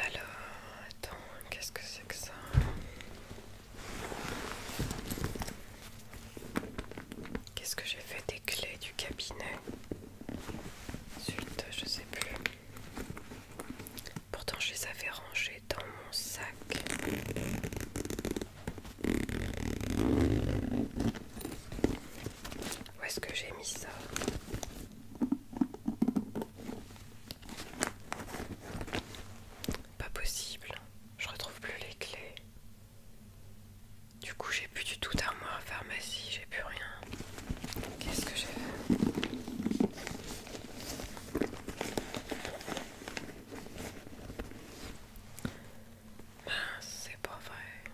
Alors, attends, qu'est-ce que c'est que ça Qu'est-ce que j'ai fait des clés du cabinet Zut, je sais plus. Pourtant, je les avais rangées dans mon sac. Où est-ce que j'ai mis ça pas possible, je retrouve plus les clés. Du coup, j'ai plus du tout d'armoire à pharmacie, j'ai plus rien. Qu'est-ce que j'ai fait c'est pas vrai.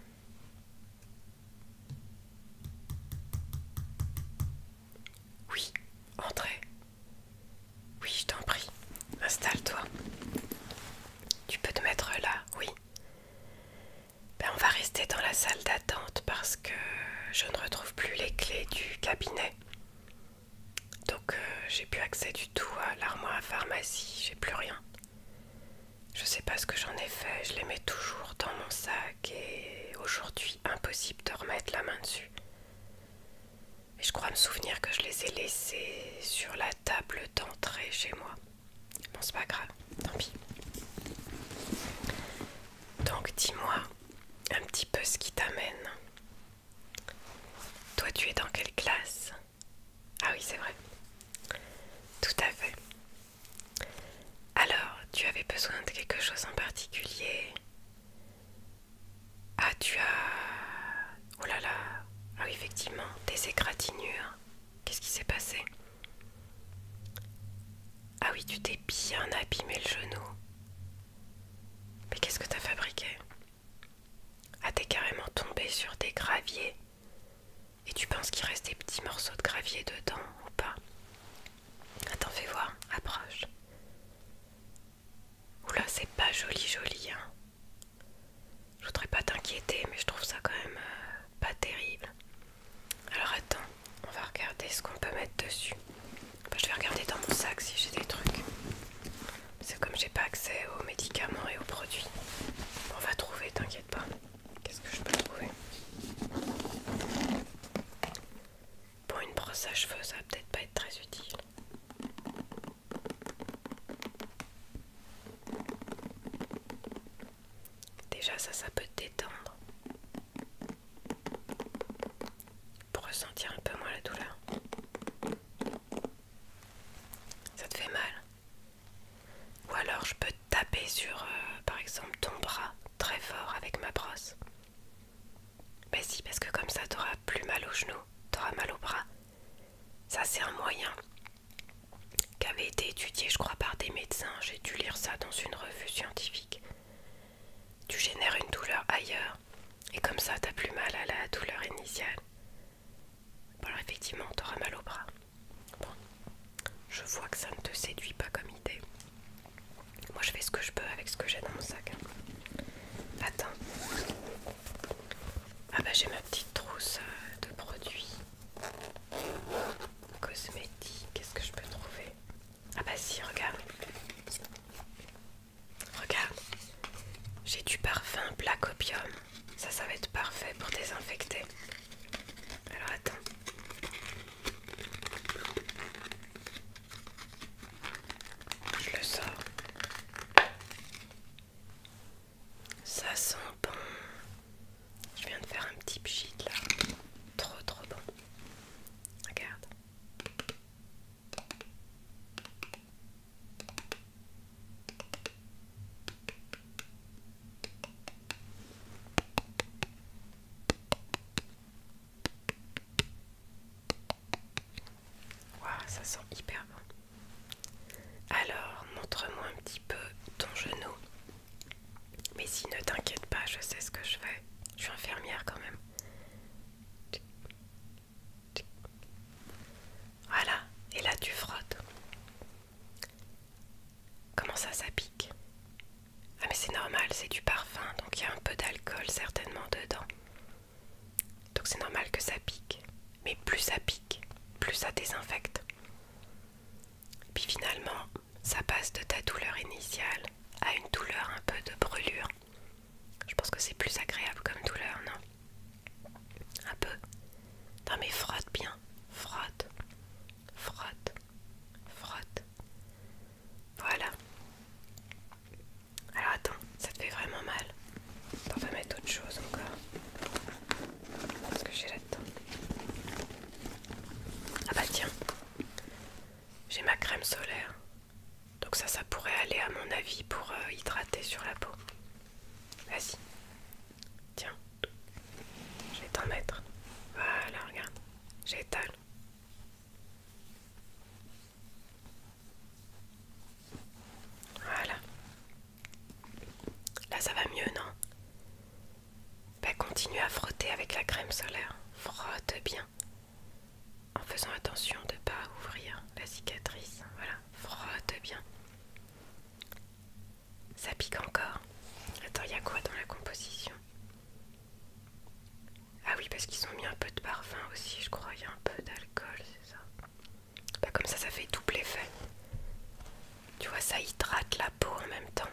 Oui, entrez. Oui, je t'en prie, installe-toi. Tu peux te mettre là, oui. Ben, on va rester dans la salle d'attente parce que je ne retrouve plus les clés du cabinet. Donc euh, j'ai plus accès du tout à l'armoire à pharmacie, j'ai plus rien. Je sais pas ce que j'en ai fait, je les mets toujours dans mon sac et aujourd'hui impossible de remettre la main dessus. Et je crois me souvenir que je les ai laissés sur la table d'entrée chez moi. Bon, c'est pas grave, tant pis. Donc dis-moi un petit peu ce qui t'amène. Toi, tu es dans quelle classe Ah oui, c'est vrai. Tout à fait. Alors, tu avais besoin de quelque chose en particulier Ah, tu as... Oh là là Ah oui, effectivement, des égratignures. Qu'est-ce qui s'est passé Ah oui, tu t'es bien abîmé le genou. Mais qu'est-ce que t'as fabriqué Ah, t'es carrément tombé sur des graviers. Et tu penses qu'il reste des petits morceaux de gravier dedans ou pas Attends, fais voir, approche. Oula, c'est pas joli, joli, hein. Je voudrais pas t'inquiéter, mais je trouve ça quand même euh, pas terrible. Alors attends, on va regarder ce qu'on peut mettre dessus. Bah, je vais regarder dans mon sac si j'ai des trucs. C'est comme j'ai pas accès aux médicaments et aux produits. On va trouver, t'inquiète pas. Qu'est-ce que je peux trouver Pour une brosse à cheveux, ça va peut-être pas être très utile. Déjà, ça, ça peut te détendre pour ressentir un peu moins la douleur. Ça te fait mal ou alors je peux taper sur, euh, par exemple, ton bras très fort avec ma brosse. mais ben si, parce que comme ça, t'auras plus mal aux genoux, t'auras mal au bras. Ça, c'est un moyen qui avait été étudié, je crois, par des médecins. J'ai dû lire ça dans une revue scientifique. Tu génères une douleur ailleurs, et comme ça, t'as plus mal à la douleur initiale. Bon, alors effectivement, t'auras mal au bras. Bon, je vois que ça ne te séduit pas comme idée. Moi, je fais ce que je peux avec ce que j'ai dans mon sac. Attends. Ah bah j'ai ma petite trousse euh, de produits cosmétiques. Qu'est-ce que je peux trouver Ah bah si, regarde. Regarde. J'ai du parfum Black Opium. Ça, ça va être parfait pour désinfecter. Alors attends. Je le sors. Ça sent bon. Je viens de faire un petit pchit là. Trop trop bon. Regarde ça sent hyper bon. Alors, montre-moi un petit peu ton genou. Mais si, ne t'inquiète pas, je sais ce que je fais. Je suis infirmière quand même. Voilà, et là tu frottes. Comment ça, ça pique Ah mais c'est normal, c'est du parfum, donc il y a un peu d'alcool certainement dedans. Donc c'est normal que ça pique. Mais plus ça pique, plus ça désinfecte. Puis finalement, ça passe de ta douleur initiale à une douleur un peu de brûlure. Je pense que c'est plus agréable comme douleur, non Un peu. Non mais frotte bien, frotte frotte, frotte. Voilà. Alors attends, ça te fait vraiment mal. T'en vas mettre autre chose encore. Parce que j'ai là-dedans Ah bah tiens, j'ai ma crème solaire. Donc ça, ça pourrait aller à mon avis pour euh, hydrater sur la peau. Vas-y, Tiens, je vais t'en mettre. Voilà, regarde, j'étale. Voilà. Là, ça va mieux, non ben, Continue à frotter avec la crème solaire. Frotte bien. En faisant attention de ne pas ouvrir la cicatrice. Voilà, frotte bien. Ça pique encore. Attends, il y a quoi dans la composition Ah oui, parce qu'ils ont mis un peu de parfum aussi, je crois. Il y a un peu d'alcool, c'est ça bah, Comme ça, ça fait double effet. Tu vois, ça hydrate la peau en même temps.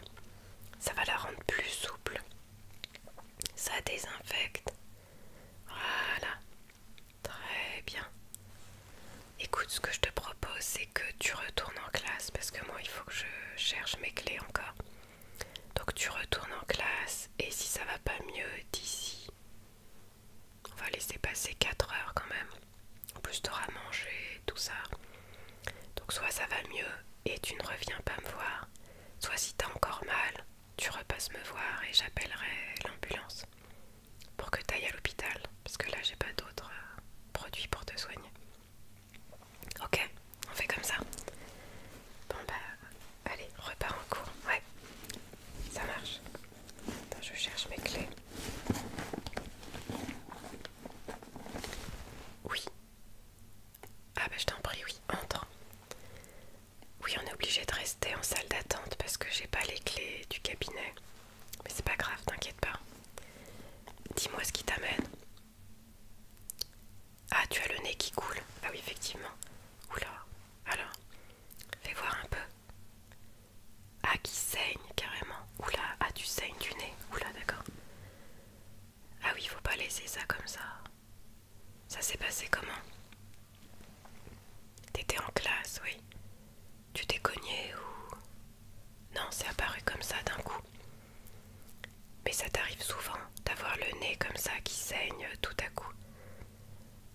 Ça va la rendre plus souple. Ça désinfecte. Voilà. Très bien. Écoute, ce que je te propose, c'est que tu retournes en classe parce que moi, il faut que je cherche mes clés encore. Donc tu retournes en classe et si ça va pas mieux d'ici, on va laisser passer 4 heures quand même. En plus, t'auras mangé, tout ça. Donc soit ça va mieux et tu ne reviens pas me voir, soit si t'as encore mal, tu repasses me voir et j'appellerai l'ambulance pour que t'ailles à l'hôpital parce que là j'ai pas d'autres euh, produits pour te soigner. Ok, on fait comme ça. Bon bah allez, repars en cours. Ouais, ça marche. Attends, je cherche mes clés. Oui. Ah bah je t'en prie, oui, entre. Oui, on est obligé de rester en salle d'attente parce que j'ai pas les clés du cabinet. Mais c'est pas grave, t'inquiète pas. Dis-moi ce qui t'amène. Ah, tu as le nez qui coule. Ah oui, effectivement. Oula, alors, fais voir un peu. Ah, qui saigne carrément. Oula, ah, tu saignes du nez. Oula, d'accord. Ah oui, faut pas laisser ça comme ça. Ça s'est passé comment T'étais en classe, oui. Tu t'es cogné ou... Non, c'est apparu comme ça d'un coup. Mais ça t'arrive souvent d'avoir le nez comme ça qui saigne tout à coup.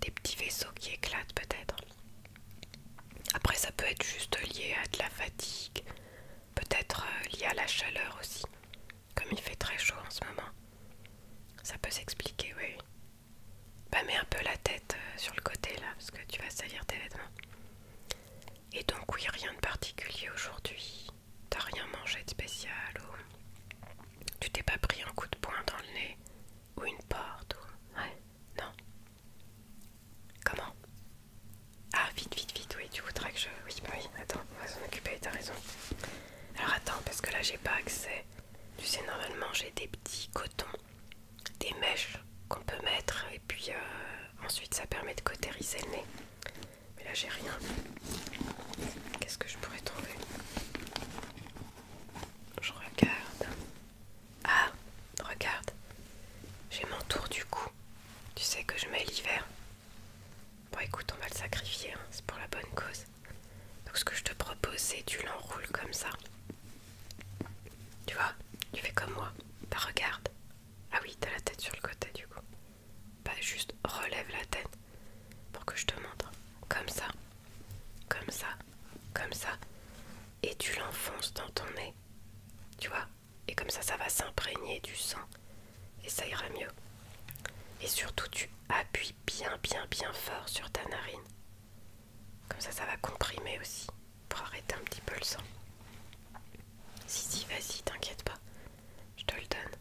Des petits vaisseaux qui éclatent peut-être. Après ça peut être juste lié à de la fatigue, peut-être euh, lié à la chaleur aussi. Comme il fait très chaud en ce moment. Ça peut s'expliquer, oui. Bah mets un peu la tête euh, sur le côté là, parce que tu vas salir tes vêtements. Et donc oui, rien de particulier aujourd'hui. T'as rien mangé de spécial ou tu t'es pas pris un coup de poing dans le nez ou une porte ou... Ouais, non. Comment Ah, vite, vite, vite, oui, tu voudrais que je... Oui, bah oui, attends, on va s'en occuper, t'as raison. Alors attends, parce que là j'ai pas accès. Tu sais, normalement j'ai des petits cotons des mèches qu'on peut mettre et puis euh, ensuite ça permet de cotériser le nez. Mais là j'ai rien. Qu'est-ce que je pourrais trouver Je regarde. Ah, regarde. J'ai mon tour du cou. Tu sais que je mets l'hiver. Bon écoute, on va le sacrifier, hein. c'est pour la bonne cause. Donc ce que je te propose c'est tu l'enroules comme ça. Tu vois, tu fais comme moi. Bah regarde. Ah oui, t'as la tête sur le côté du coup. Bah juste relève la tête pour que je te montre. Comme ça, comme ça, comme ça. Et tu l'enfonces dans ton nez. Tu vois Et comme ça, ça va s'imprégner du sang. Et ça ira mieux. Et surtout, tu appuies bien, bien, bien fort sur ta narine. Comme ça, ça va comprimer aussi pour arrêter un petit peu le sang. Si, si, vas-y, t'inquiète pas. Je te le donne.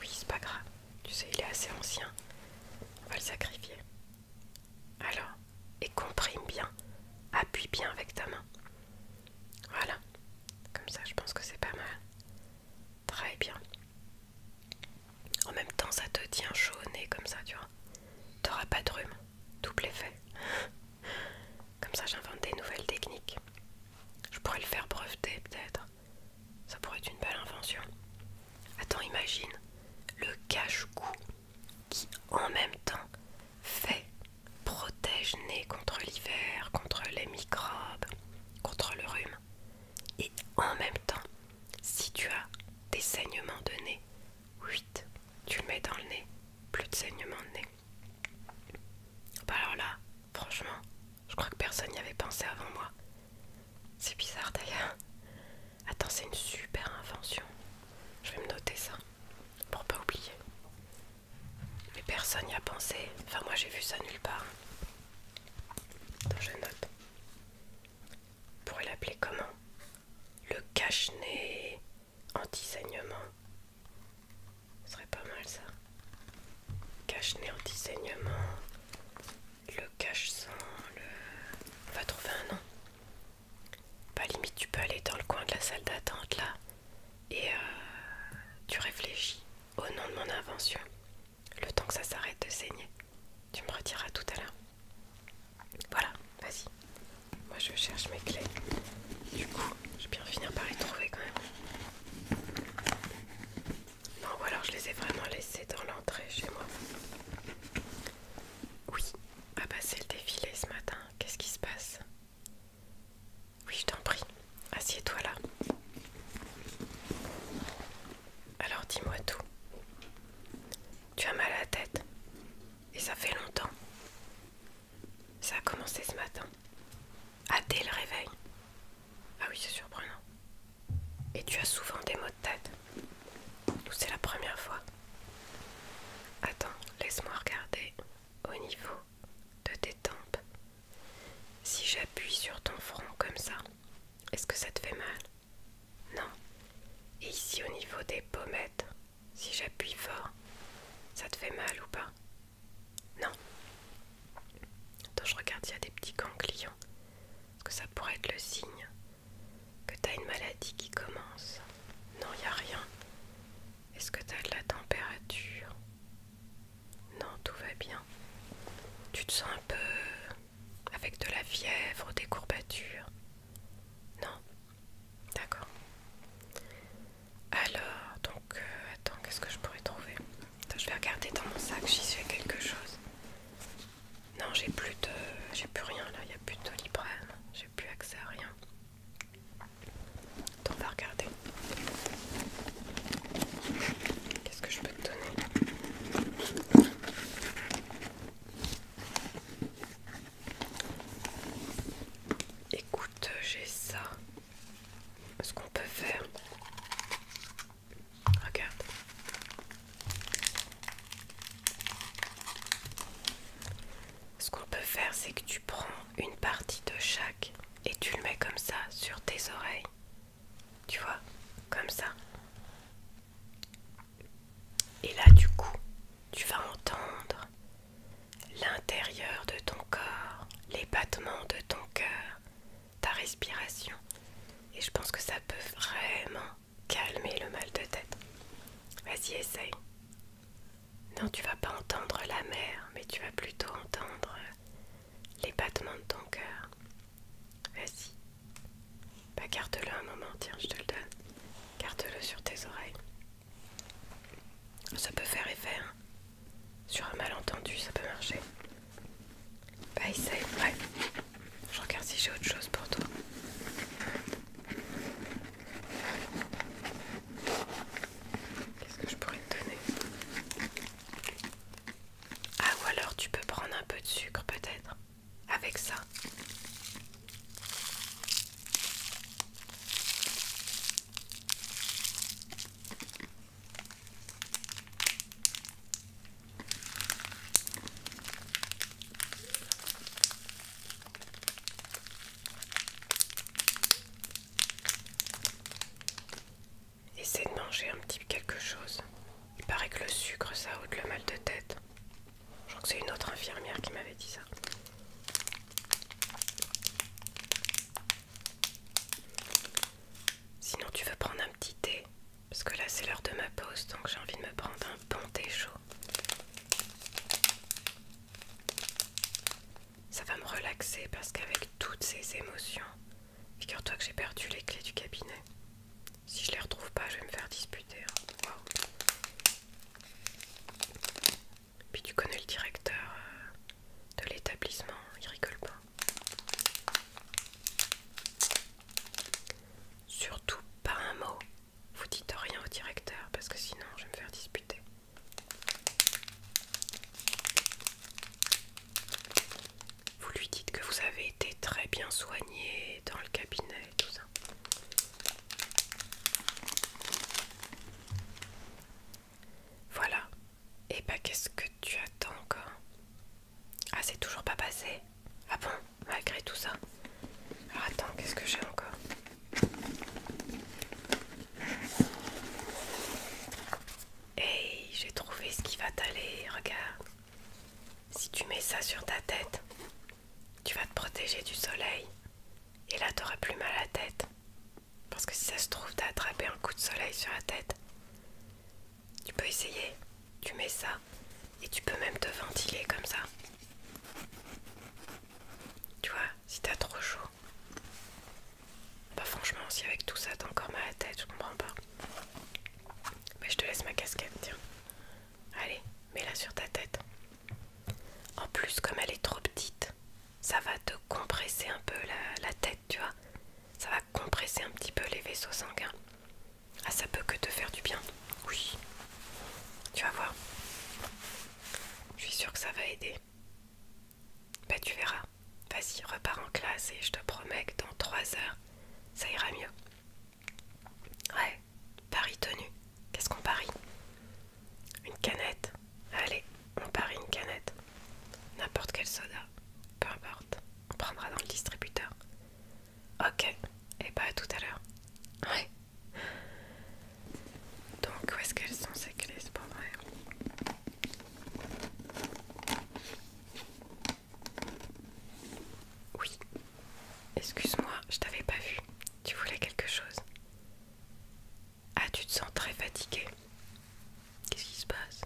Oui, c'est pas grave. Tu sais, il est assez ancien. On va le sacrifier. Alors, et comprime bien. Appuie bien avec ta main. Voilà. Comme ça, je pense que c'est pas mal. Très bien. En même temps, ça te tient chaud au nez comme ça, tu vois. T'auras pas de rhume double effet. Comme ça, j'invente des nouvelles techniques. Je pourrais le faire breveter, peut-être. Ça pourrait être une belle invention. Attends, imagine le cache-cou qui, en même temps, fait protège-nez contre l'hiver, contre les microbes, contre le rhume. Et en même temps, si tu as des saignements de nez, 8. Tu le mets dans le nez, plus de saignement de nez. Bah alors là, franchement, je crois que personne n'y avait pensé avant moi. C'est bizarre d'ailleurs. Attends, c'est une super invention. Je vais me noter ça pour pas oublier. Mais personne n'y a pensé. Enfin, moi j'ai vu ça nulle part. Donc je note. Pourrait l'appeler comment le cache-nez anti-saignement. Ce serait pas mal ça. Cache-nez anti-saignement, le cache-sang, On va trouver un nom. Pas limite tu peux aller dans le coin de la salle d'attente là et euh, tu réfléchis au nom de mon invention. Le temps que ça s'arrête de saigner. Tu me retireras tout à l'heure. Voilà, vas-y. Moi je cherche mes clés. Du coup, je vais bien finir par les trouver quand même. Non, ou alors je les ai vraiment laissées dans l'entrée chez moi. Oui, ah bah c'est le défilé ce matin. Qu'est-ce qui se passe Oui, je t'en prie. Assieds-toi là. Alors dis-moi tout. Tu as mal à la tête et ça fait longtemps. Ça a commencé ce matin. à dès le réveil. Ah oui, c'est surprenant. Et tu as souvent des maux de tête. c'est la première fois. Attends, laisse-moi regarder au niveau de tes tempes. Si j'appuie sur ton front comme ça, est-ce que ça te fait mal Non. Et ici au niveau des pommettes, si j'appuie fort, ça te fait mal ou pas Non Attends, je regarde s'il y a des petits ganglions. Est-ce que ça pourrait être le signe que t'as une maladie qui commence Non, il n'y a rien. Est-ce que t'as de la température Non, tout va bien. Tu te sens un peu avec de la fièvre, des courbatures non D'accord. Alors, donc, euh, attends, qu'est-ce que je pourrais trouver Je vais regarder dans mon sac si à quelque chose. Non, j'ai plus de... J'ai plus rien là, il n'y a plus de librairie. J'ai plus accès à rien. Attends, on va regarder. Qu'est-ce que je peux te donner Écoute, j'ai ça. Ce qu'on peut faire. Regarde. Ce qu'on peut faire, c'est que tu prends une partie de chaque et tu le mets comme ça sur tes oreilles. Tu vois Comme ça. Et là, du coup, tu vas entendre l'intérieur de ton corps, les battements de ton cœur, ta respiration. Et je pense que ça peut vraiment calmer le mal de tête. Vas-y, essaye. Non, tu vas pas entendre la mer, mais tu vas plutôt entendre les battements de ton cœur. Vas-y. Bah garde-le un moment, tiens, je te le donne. Garde-le sur tes oreilles. Ça peut faire effet, hein. Sur un malentendu, ça peut marcher. Bah essaye, ouais. Je regarde si j'ai autre chose pour toi. Qu'est-ce que je pourrais te donner Ah ou alors tu peux prendre un peu de sucre peut-être avec ça. Essaie de manger un petit quelque chose. Il paraît que le sucre ça ôte le mal de tête. Je crois que c'est une autre infirmière qui m'avait dit ça. Sinon, tu veux prendre un petit thé Parce que là, c'est l'heure de ma pause, donc j'ai envie de me prendre un bon thé chaud. Ça va me relaxer parce qu'avec toutes ces émotions, figure-toi que j'ai perdu les clés du cabinet. Si je les retrouve pas, je vais me faire disputer. Hein. Puis tu connais le directeur euh, de l'établissement, il rigole pas. Surtout pas un mot. Vous dites rien au directeur parce que sinon je vais me faire disputer. Vous lui dites que vous avez été très bien soigné dans le cabinet et tout ça. Voilà. Et bah qu'est-ce que tu attends encore Ah c'est toujours pas passé Ah bon Malgré tout ça attends, qu'est-ce que j'ai encore Hey, j'ai trouvé ce qui va t'aller, regarde. Si tu mets ça sur ta tête, tu vas te protéger du soleil et là t'auras plus mal à la tête. Parce que si ça se trouve, t'as attrapé un coup de soleil sur la tête. Tu peux essayer, tu mets ça et tu peux même te ventiler comme ça. Tu vois, si t'as trop chaud. Bah franchement, si avec tout ça t'as encore mal à la tête, je comprends pas. Mais je te laisse ma casquette, tiens. Allez, mets-la sur ta tête. En plus, comme elle est trop petite, ça va te compresser un peu la, tête, tu vois. Ça va compresser un petit peu les vaisseaux sanguins. Ah, ça peut que te faire du bien. Oui. Tu vas voir. Je suis sûre que ça va aider. Bah, tu verras. Vas-y, repars en classe et je te promets que dans 3 heures, ça ira mieux. Ouais, pari tenu. Qu'est-ce qu'on parie Une canette. Allez, on parie une canette. N'importe quel soda. Peu importe. On prendra dans le distributeur. Ok, et pas bah, tout à l'heure. Ouais. Donc où est-ce qu'elles sont ces clés C'est vrai. Oui, Excuse-moi, je t'avais pas vu. Tu voulais quelque chose Ah, tu te sens très fatigué. Qu'est-ce qui se passe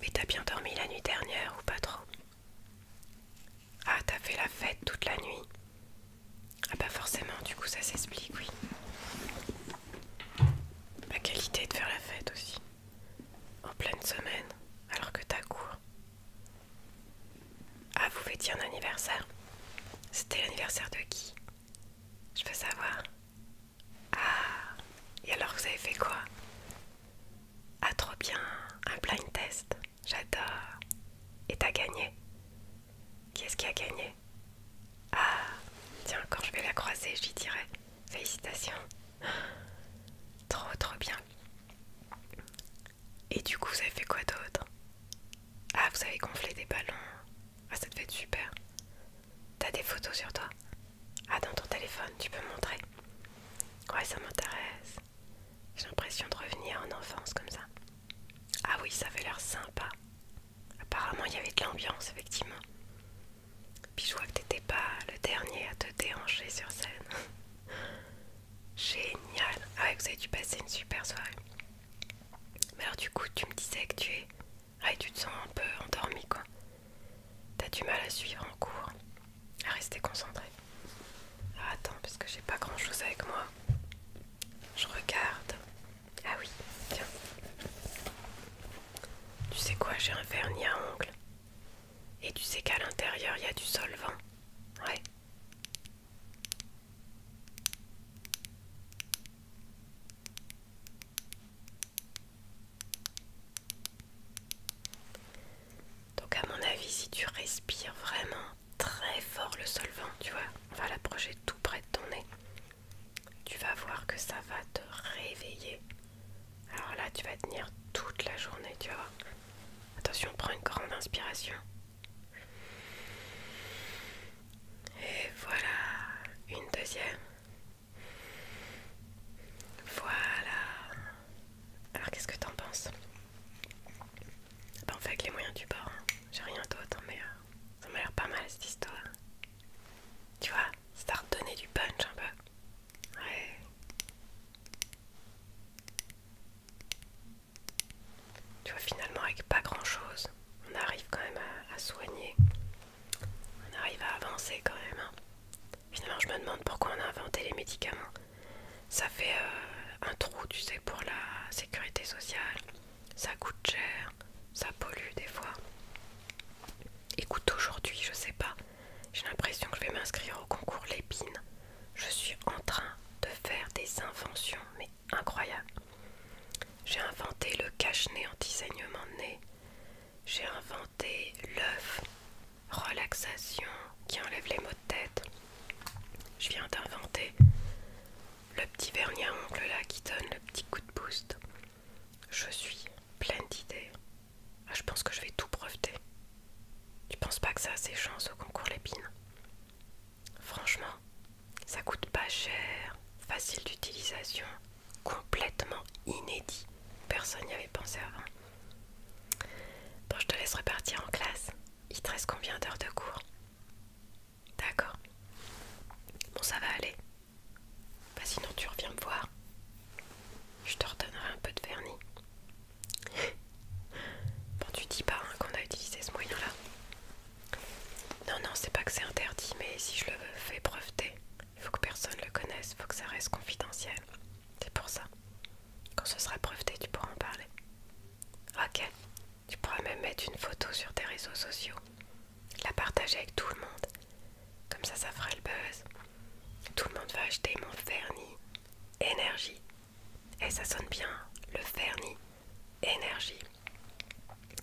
Mais t'as bien dormi la nuit dernière ou pas trop Ah, t'as fait la fête toute la nuit Ah bah forcément, du coup ça s'explique, oui. La qualité de faire la fête aussi. En pleine semaine, alors que t'as cours. Ah, vous fêtiez un anniversaire C'était l'anniversaire de qui Je veux savoir. Ah, et alors vous avez fait quoi Ah, trop bien, un blind test. J'adore. Et t'as gagné Qui est-ce qui a gagné Ah, tiens, quand je vais la croiser, je lui dirai. Félicitations. Trop, trop bien. Et du coup, vous avez fait quoi d'autre Ah, vous avez gonflé des ballons. Ah, ça te fait super. T'as des photos sur toi Ah, dans ton téléphone, tu peux montrer Ouais, ça m'intéresse. J'ai l'impression de revenir en enfance comme ça. Ah oui, ça fait l'air sympa. Apparemment, il y avait de l'ambiance, effectivement. Puis je vois que t'étais pas le dernier à te déranger sur scène. Génial. Ah ouais, vous avez dû passer une super soirée. Mais alors du coup, tu me disais que tu es... Ah, tu te sens un peu endormi, quoi. T'as du mal à suivre en cours, à rester concentré. Ah, attends, parce que j'ai pas grand-chose avec moi. Je regarde. Ah oui, tiens. Tu sais quoi, j'ai un vernis à ongles. Et tu sais qu'à l'intérieur, il y a du solvant. Ouais. Donc à mon avis, si tu respires vraiment très fort le solvant, tu vois, on va l'approcher tout près de ton nez. Tu vas voir que ça va te réveiller. Alors là, tu vas tenir toute la journée, tu vois Attention, prends une grande inspiration. Et voilà, une deuxième. Voilà. Alors qu'est-ce que t'en penses ben, bah, On fait avec les moyens du bord. Hein. J'ai rien d'autre, hein, mais euh, ça m'a l'air pas mal cette histoire. Tu vois, c'est à redonner du punch un peu. Tu vois, finalement, avec pas grand-chose, on arrive quand même à, soigner. On arrive à avancer quand même. Hein. Finalement, je me demande pourquoi on a inventé les médicaments. Ça fait euh, un trou, tu sais, pour la sécurité sociale. Ça coûte cher, ça pollue des fois. Écoute, aujourd'hui, je sais pas. J'ai l'impression que je vais m'inscrire au concours Lépine. Je suis en train de faire des inventions, mais incroyables. J'ai inventé le cache-nez en saignement de nez. J'ai inventé l'œuf relaxation qui enlève les maux de tête. Je viens d'inventer le petit vernis à ongles là qui donne le petit coup de boost. Je suis pleine d'idées. Ah, je pense que je vais tout breveter. Tu penses pas que ça a ses chances au concours Lépine Franchement, ça coûte pas cher, facile d'utilisation, complètement inédit. Personne n'y avait pensé avant. Bon, je te laisse repartir en classe. Il te reste combien d'heures de cours D'accord. Bon, ça va aller. Bah, sinon, tu reviens me voir. Je te redonnerai un peu de vernis. Bon, tu dis pas hein, qu'on a utilisé ce moyen-là. Non, non, c'est pas que c'est interdit, mais si je le fais breveter, il faut que personne le connaisse, il faut que ça reste confidentiel. C'est pour ça. Quand ce sera breveté, tu pourras en parler. Ok. Tu pourras même mettre une photo sur tes réseaux sociaux, la partager avec tout le monde. Comme ça, ça fera le buzz. Tout le monde va acheter mon vernis, énergie. Et ça sonne bien, le vernis énergie.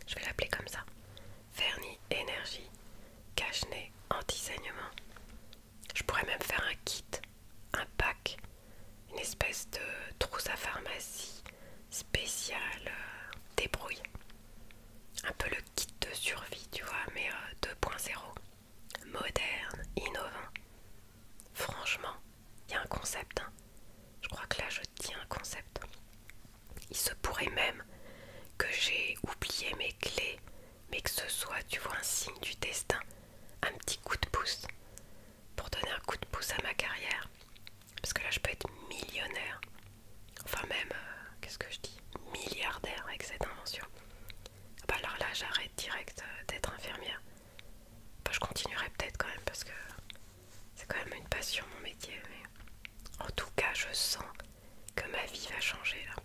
Je vais l'appeler comme ça. Vernis énergie, cache-nez anti-saignement. Je pourrais même faire un kit, un pack, une espèce de trousse à pharmacie spéciale euh, débrouille. Un peu le kit de survie, tu vois, mais 2.0. Euh, moderne, innovant. Franchement, il y a un concept. Hein. Je crois que là, je tiens un concept. Il se pourrait même que j'ai oublié mes clés, mais que ce soit, tu vois, un signe du destin, un petit coup de pouce, pour donner un coup de pouce à ma carrière. Parce que là, je peux être millionnaire. Enfin même, euh, qu'est-ce que je dis Milliardaire avec cette invention bah alors là j'arrête direct euh, d'être infirmière. Bah, je continuerai peut-être quand même parce que c'est quand même une passion mon métier. en tout cas je sens que ma vie va changer là.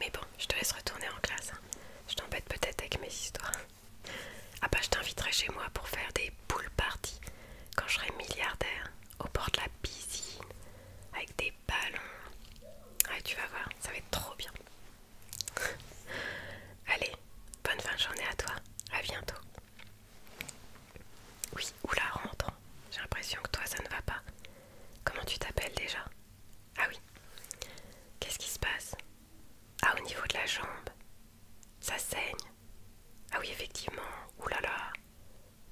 Mais bon, je te laisse retourner en classe. Hein. Je t'embête peut-être avec mes histoires. Ah bah je t'inviterai chez moi pour faire des pool parties quand je serai milliardaire au bord de la piscine avec des ballons. Ah, tu vas voir, ça va être trop bien. Allez, bonne fin de journée à toi. À bientôt. Oui, oula, rentre. J'ai l'impression que toi, ça ne va pas. Comment tu t'appelles déjà Ah oui. Qu'est-ce qui se passe Ah, au niveau de la jambe. Ça saigne. Ah oui, effectivement. Oulala.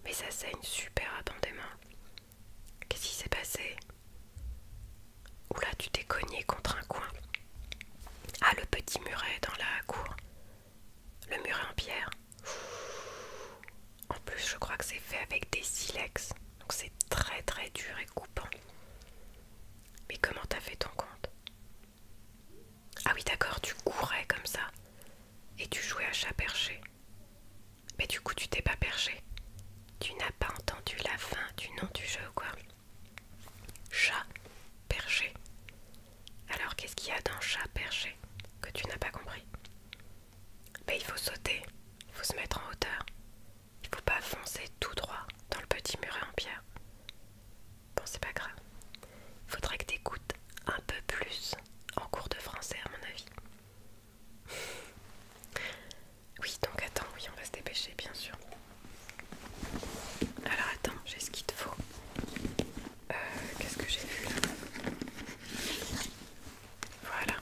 Mais ça saigne super abondément. Qu'est-ce qui s'est passé Oula, tu t'es cogné contre un coin. Ah, le petit muret dans la cour. Le muret en pierre. En plus, je crois que c'est fait avec des silex. Donc c'est très très dur et coupant. Mais comment t'as fait ton compte Ah oui, d'accord, tu courais comme ça. Et tu jouais à chat perché. Mais du coup, tu t'es pas perché. Tu n'as pas entendu la fin du nom du jeu, quoi. Chat perché. Alors, qu'est-ce qu'il y a dans chat perché que tu n'as pas compris Mais Il faut sauter, il faut se mettre en hauteur. Il faut pas foncer tout droit dans le petit muret en pierre. Bon, c'est pas grave. Il Faudrait que t'écoutes un peu plus en cours de français, à mon avis. Oui, donc attends, oui, on va se dépêcher, bien sûr. Alors attends, j'ai ce qu'il te faut. Euh, qu'est-ce que j'ai vu là Voilà.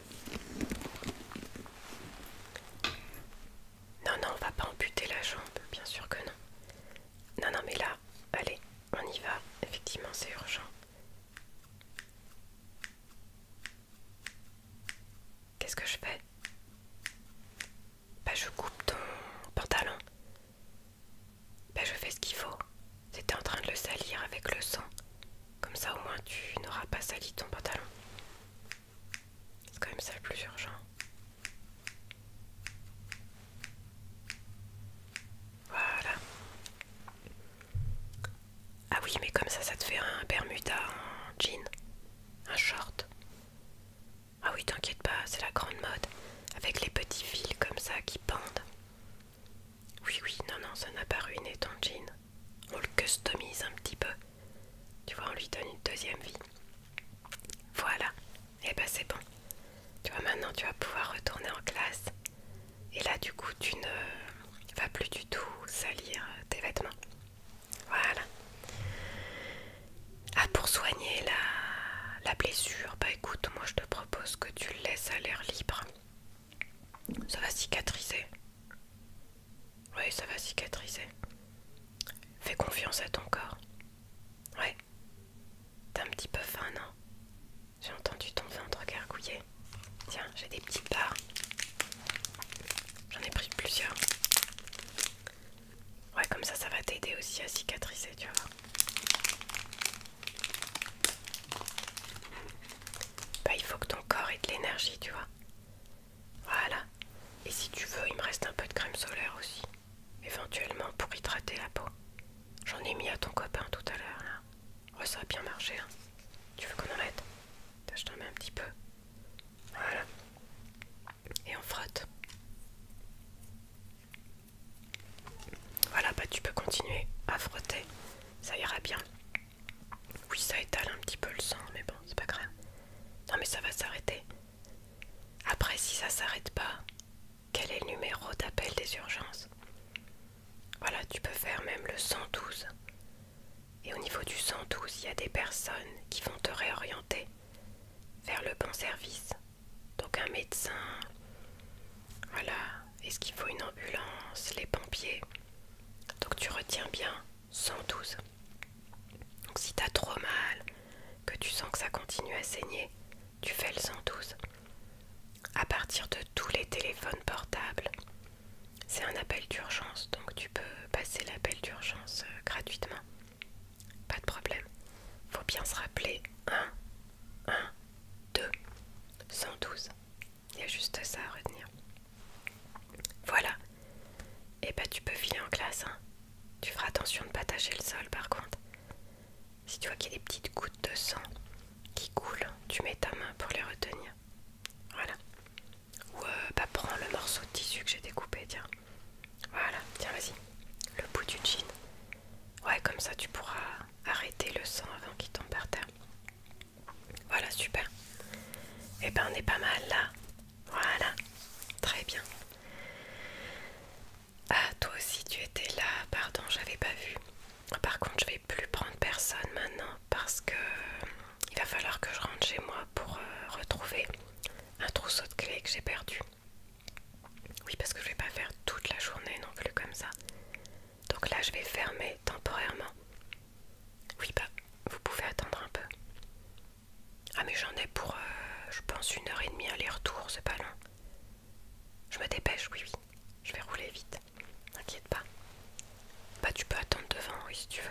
Non, non, on va pas amputer la jambe, bien sûr que non. Non, non, mais là, allez, on y va. Effectivement, c'est urgent. Qu'est-ce que je fais Bah je coupe ton pantalon. Bah je fais ce qu'il faut. C'était en train de le salir avec le sang. Comme ça au moins tu n'auras pas sali ton pantalon. C'est quand même ça le plus urgent. Voilà. Ah oui, mais comme ça, ça te fait un Bermuda, en jean, un short. Ah oui, t'inquiète pas, c'est la grande mode. Avec les petits fils comme ça qui pendent. Oui, oui, non, non, ça n'a pas ruiné ton jean. On le customise un petit peu. Tu vois, on lui donne une deuxième vie. Voilà. Et eh ben c'est bon. Tu vois, maintenant tu vas pouvoir retourner en classe. Et là, du coup, tu ne vas plus du tout salir euh, tes vêtements. Voilà. Ah, pour soigner la, blessure, bah écoute, moi je te propose que tu le laisses à l'air libre. Ça va cicatriser. Oui, ça va cicatriser. Fais confiance à ton corps. Ouais. T'as un petit peu faim, non J'ai entendu ton ventre gargouiller. Tiens, j'ai des petites barres. J'en ai pris plusieurs. Ouais, comme ça, ça va t'aider aussi à cicatriser, tu vois. Bah, il faut que ton corps ait de l'énergie, tu vois. Voilà. Et si tu veux, il me reste un peu de crème solaire aussi. Éventuellement pour hydrater la peau. J'en ai mis à ton copain tout à l'heure, là ça a bien marché. Hein. Tu veux qu'on en mette Je t'en mets un petit peu. Voilà. Et on frotte. Voilà, bah tu peux continuer à frotter. Ça ira bien. Oui, ça étale un petit peu le sang, mais bon, c'est pas grave. Non, mais ça va s'arrêter. Après, si ça s'arrête pas, quel est le numéro d'appel des urgences Voilà, tu peux faire même le 112. Et au niveau du 112, il y a des personnes qui vont te réorienter vers le bon service. Donc un médecin, voilà, est-ce qu'il faut une ambulance, les pompiers. Donc tu retiens bien 112. Donc si t'as trop mal, que tu sens que ça continue à saigner, tu fais le 112. À partir de tous les téléphones portables, c'est un appel d'urgence, donc tu peux passer l'appel d'urgence euh, gratuitement. Pas de problème. Faut bien se rappeler 1, 1, 2, 112. Il y a juste ça à retenir. Voilà. Et eh bah ben, tu peux filer en classe. Hein. Tu feras attention de ne pas tâcher le sol par contre. Si tu vois qu'il y a des petites gouttes de sang qui coulent, tu mets ta main pour les retenir. Voilà. Ou euh, bah, prends le morceau de tissu que j'ai découpé, tiens. Voilà, tiens vas-y. Le bout du jean. Ouais, comme ça tu pourras arrêter le sang avant qu'il tombe par terre. Voilà, super. Et eh ben on est pas mal là. Voilà, très bien. Ah, toi aussi tu étais là, pardon, j'avais pas vu. Par contre, je vais plus prendre personne maintenant parce que euh, il va falloir que je rentre chez moi pour euh, retrouver un trousseau de clés que j'ai perdu. Oui, parce que je vais pas faire toute la journée non plus comme ça. Donc là, je vais fermer temporairement. Oui, bah, vous pouvez attendre un peu. Ah, mais j'en ai pour, euh, je pense, une heure et demie aller-retour, c'est pas long. Je me dépêche, oui, oui je vais rouler vite. T'inquiète pas. Bah, tu peux attendre devant, oui, si tu veux.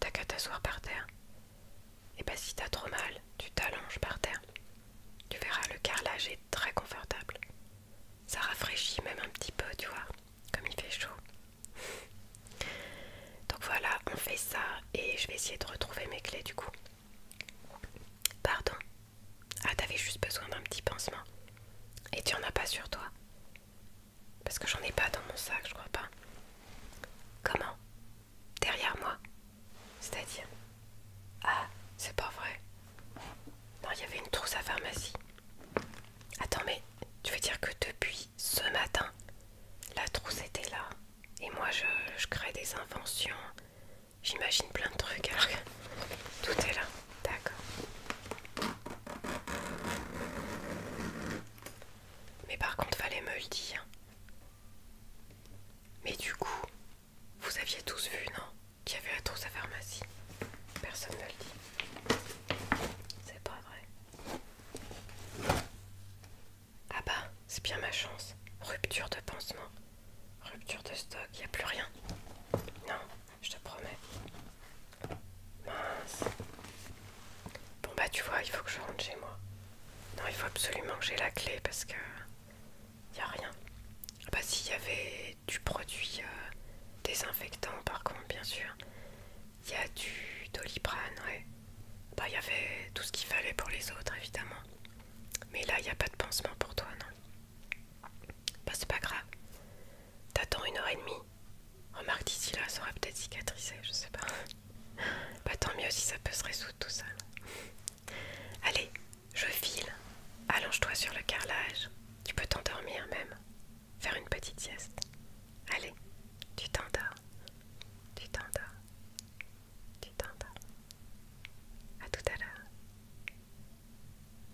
T'as qu'à t'asseoir par terre. Et bah, si t'as trop mal, tu t'allonges par terre. Tu verras, le carrelage est très confortable. Ça rafraîchit même un petit peu, tu vois, comme il fait chaud. Donc voilà, on fait ça et je vais essayer de retrouver mes clés du coup. Pardon. Ah, t'avais juste besoin d'un petit pansement. Et tu en as pas sur toi Parce que j'en ai pas dans mon sac, je crois pas. Comment Derrière moi C'est-à-dire Ah, c'est pas vrai. Non, il y avait une trousse à pharmacie. Attends, mais tu veux dire que depuis ce matin, la trousse était là et moi je, je crée des inventions, j'imagine plein de trucs alors tout est là. D'accord. Mais par contre, fallait me le dire. Mais du coup, vous aviez tous vu, non Qu'il y avait la trousse à pharmacie. Personne ne le dit. C'est pas vrai. Ah bah, c'est bien ma chance. Rupture de pansement. Rupture de stock, il n'y a plus rien. Non, je te promets. Mince. Bon bah tu vois, il faut que je rentre chez moi. Non, il faut absolument que j'ai la clé parce que y a rien. Ah bah s'il y avait du produit euh, désinfectant par contre, bien sûr. Il y a du doliprane, ouais. Bah il y avait tout ce qu'il fallait pour les autres évidemment. Mais là, il n'y a pas de pansement pour toi, non Bah c'est pas grave. T'attends une heure et demie. Remarque d'ici là, ça aura peut-être cicatrisé, je sais pas. Bah tant mieux si ça peut se résoudre tout ça. Allez, je file. Allonge-toi sur le carrelage. Tu peux t'endormir même. Faire une petite sieste. Allez, tu t'endors. Tu t'endors. Tu t'endors. À tout à l'heure.